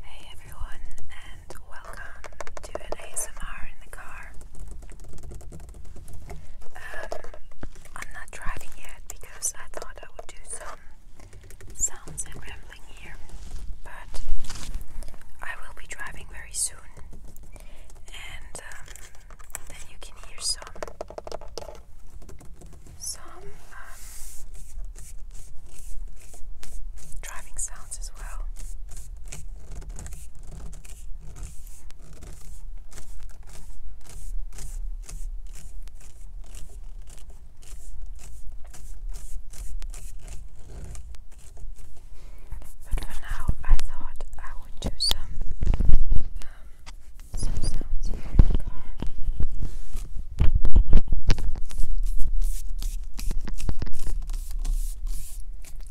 Hey everyone, and welcome to an ASMR in the car. Um, I'm not driving yet because I thought I would do some sounds and rambling here, but I will be driving very soon, and um, then you can hear some some um, driving sounds as well. But for now, I thought I would do some um, some sounds here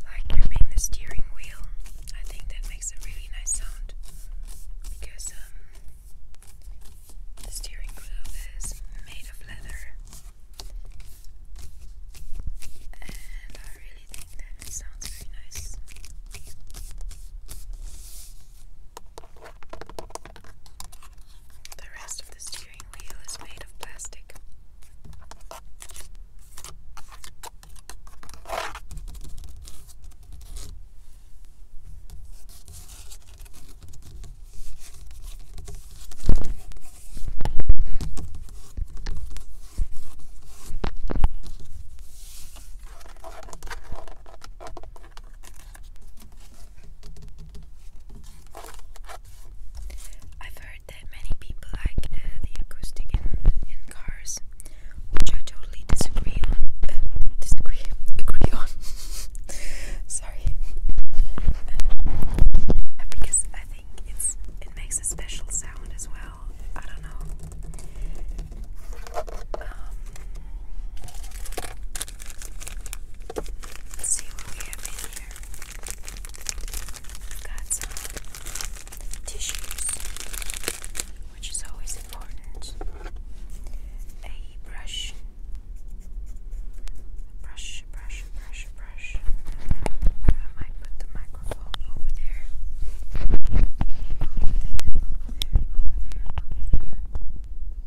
like gripping the steering wheel, I think that makes a really nice sound because um, the steering wheel is made of leather, and I really think that sounds very nice. The rest of the steering wheel is made of plastic. I've heard that many people like uh, the acoustic in, cars, which I totally disagree on. Uh, disagree, agree on. Sorry, uh, because I think it's it makes a special sound as well. I don't know. Um, Let's see what we have in here. got some tissues, which is always important. A brush, brush, brush, brush, brush. I might put the microphone over there.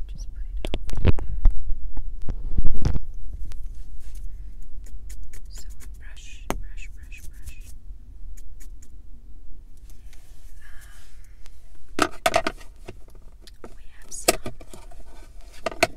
Just brush, brush, brush, brush. Um, we have some hand sanitizer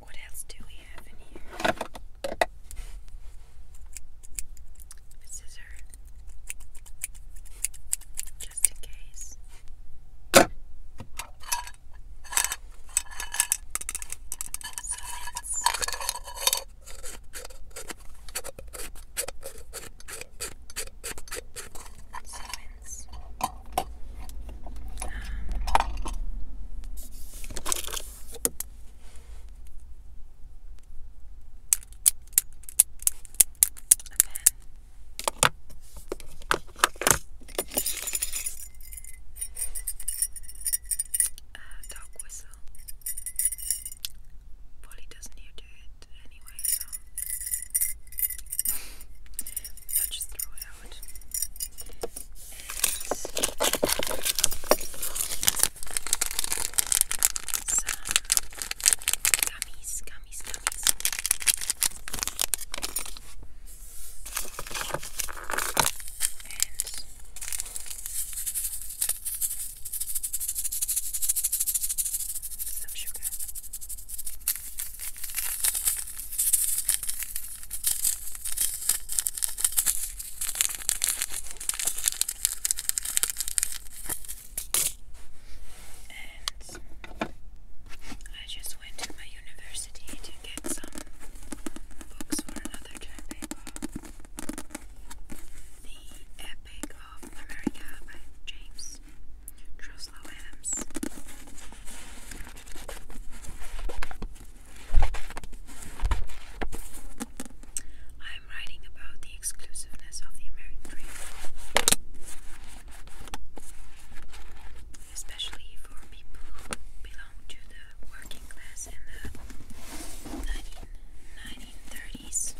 What else do we have in here? A just in case. So Summons ones. Um, uh, dog whistle. Polly doesn't hear to it anyway, so I'll just throw it out. gummies, gummies, gummies. And some sugar. And I just went to my university to get some books for another term The Epic of America by James Truslow Adams. I am writing about the exclusiveness of the American dream, especially for people who belong to the working class in the 19, 1930s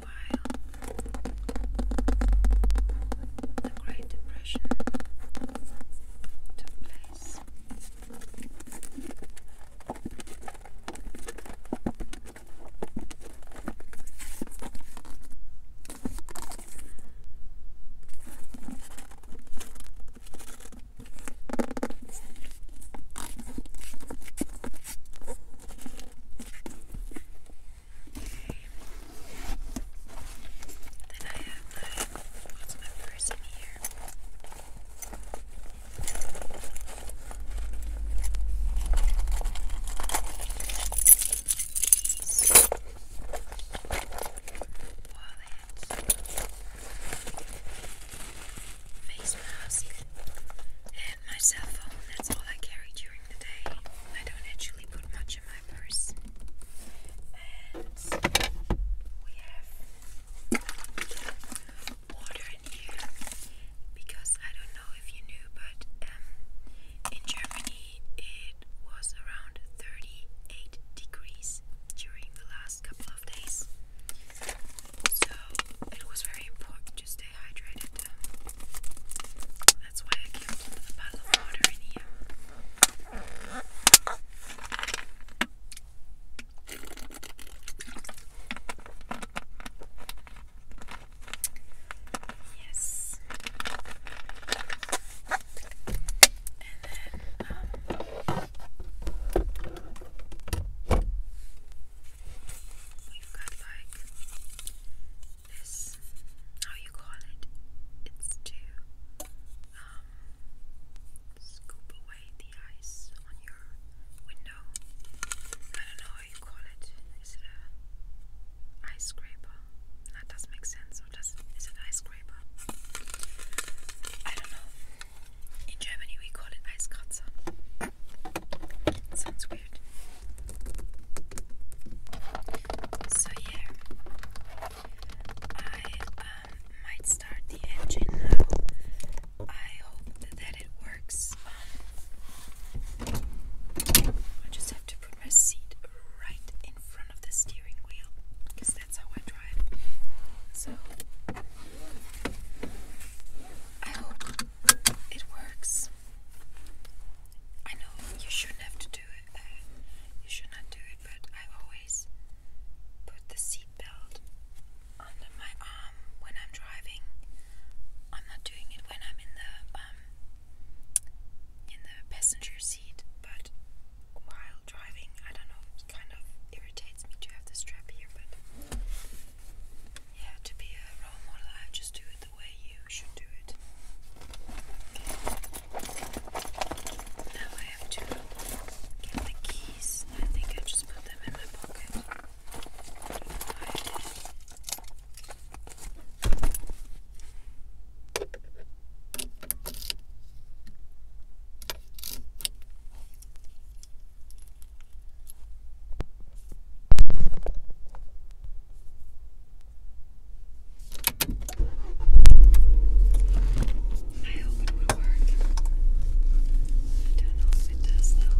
while the Great Depression took place. Then I have my, what's my purse in here? These wallets, face mask, my cell phone. That's all I carry during the day. I don't actually put much in my purse. And we have water in here because I don't know if you knew, but um, in Germany it was around 38 degrees during the last couple of days. So it was very important to stay hydrated. That's why I kept a bottle of water in here. Yes. And then um, You've got like this, how you call it? It's to um, scoop away the ice on your window. I don't know how you call it. Is it a ice scraper? That does make sense. does is it ice scraper? I don't know. In Germany, we call it Eiskratzer. sounds weird. So yeah, I um, might start the engine now. I hope that it works. Um, I just have to put my seat right in front of the steering wheel because that's how I drive. So I hope it works. I know you shouldn't have to do it. Uh, you should not do it, but I always put the seatbelt under my arm when I'm driving. I'm not doing it when I'm in the um, in the passenger seat, but while driving, I don't know, it kind of irritates me to have the strap here, but yeah, to be a role model, I just do it the way you should do it. Now I have to get the keys. I think I just put them in my pocket. I hope it will work. I don't know if it does though.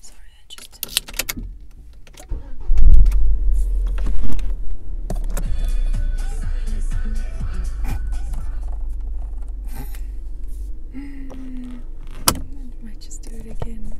Sorry, I just I might just do it again.